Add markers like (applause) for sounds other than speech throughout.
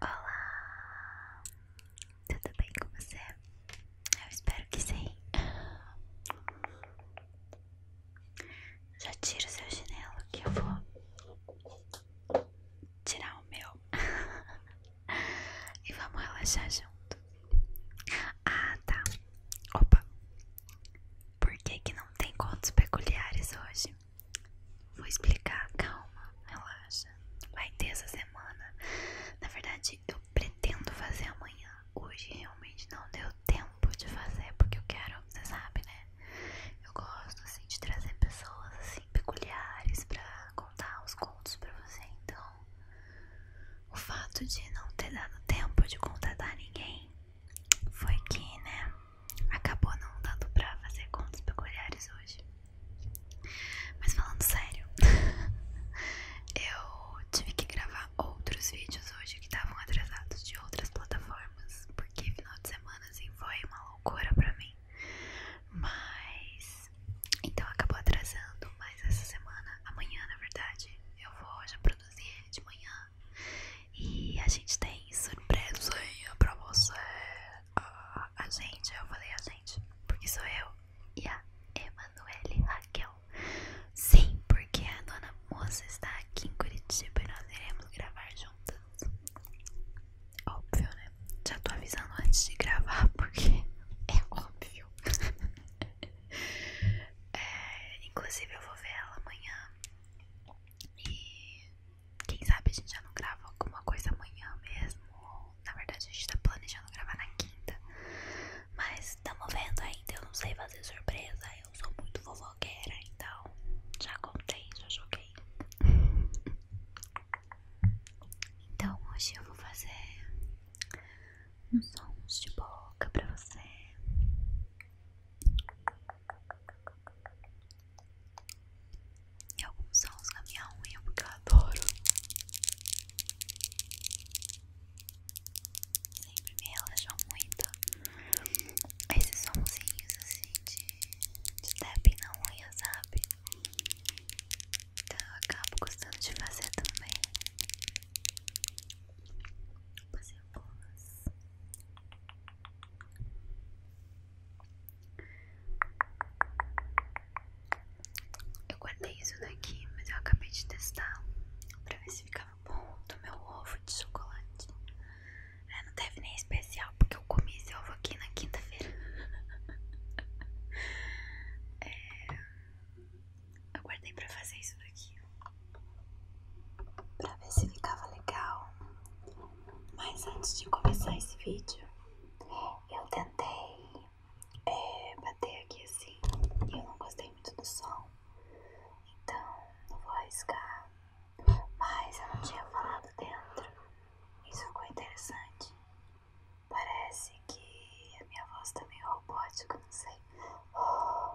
Olá, tudo bem com você? Eu espero que sim. Já tira o seu chinelo que eu vou tirar o meu (laughs) e vamos relaxar junto. Ah, tá. Opa. Por que que não tem contos peculiares hoje? Vou explicar, calma, relaxa. Vai ter essa semana. Na verdade, eu pretendo fazer amanhã. Hoje realmente não deu tempo de fazer, porque eu quero, você sabe, né? Eu gosto assim de trazer pessoas assim peculiares pra contar os contos pra você. Então, o fato de não ter dado tempo de contatar ninguém foi que, né, acabou não dando pra fazer contos peculiares hoje. Mas falando sério, (laughs) eu tive que gravar outros vídeos hoje que estavam atrasados de outras plataformas, porque final de semana assim foi uma loucura pra mim. Mas então acabou atrasando, mas essa semana, amanhã na verdade, eu vou já produzir de manhã e a gente tem surpresinha pra você. Ah, a gente, eu falei a gente, porque sou eu e a Emanuele Raquel. Sim, porque a dona moça está aqui em Curitiba e nós iremos gravar juntas. Óbvio, né? Já tô avisando antes de gravar, porque (laughs) é óbvio. (laughs) É, inclusive, eu vou ver ela amanhã. E quem sabe a gente já não grava alguma coisa amanhã mesmo. na verdade, a gente tá planejando gravar na quinta. Mas estamos vendo ainda. Eu não sei fazer surpresa. Eu sou muito fofoqueira, então já contei, já joguei. (laughs) Então hoje eu vou fazer uns sons de boca pra você. E alguns sons na minha unha porque eu adoro. Sempre me relaxam muito. Esses sonzinhos assim de, de tapping na unha, sabe? Então eu acabo gostando de fazer também. Vou fazer algumas. Eu guardei isso daqui, mas eu acabei de testar pra ver se ficava bom do meu ovo de chocolate. É, não deve nem especial, porque eu comi esse ovo aqui na quinta-feira. (laughs) É, eu guardei pra fazer isso daqui. Pra ver se ficava legal. Mas antes de começar esse vídeo, eu tentei é, bater aqui assim e eu não gostei muito do som, então não vou arriscar. Mas eu não tinha falado dentro, isso ficou interessante. Parece que a minha voz tá meio robótica, não sei. (laughs)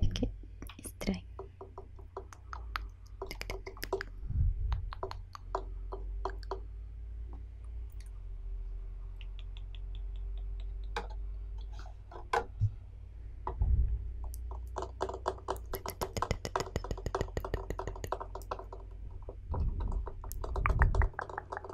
Fiquei é, estranho.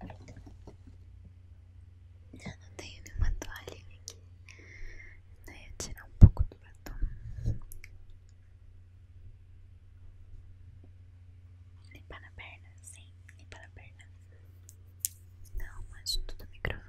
Eu não tenho nenhuma toalha aqui. Daí então, eu tirar um pouco do batom. Limpar na perna, sim, limpar na perna. Não, mas tudo no microfone.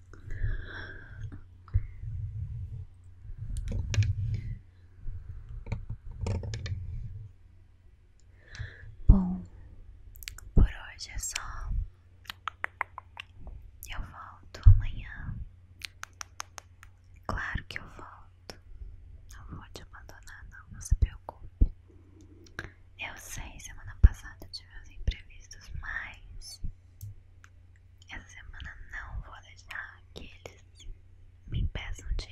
Bom, por hoje é só. Eu volto amanhã. Claro que eu volto. Não vou te abandonar, não, não se preocupe. Eu sei, semana passada tive uns imprevistos, mas essa semana não vou deixar que eles me peçam de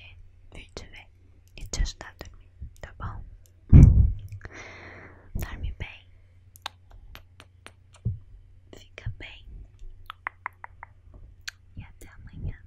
vir te ver e te ajudar a dormir, tá bom? (laughs) Dorme bem. Fica bem. E até amanhã.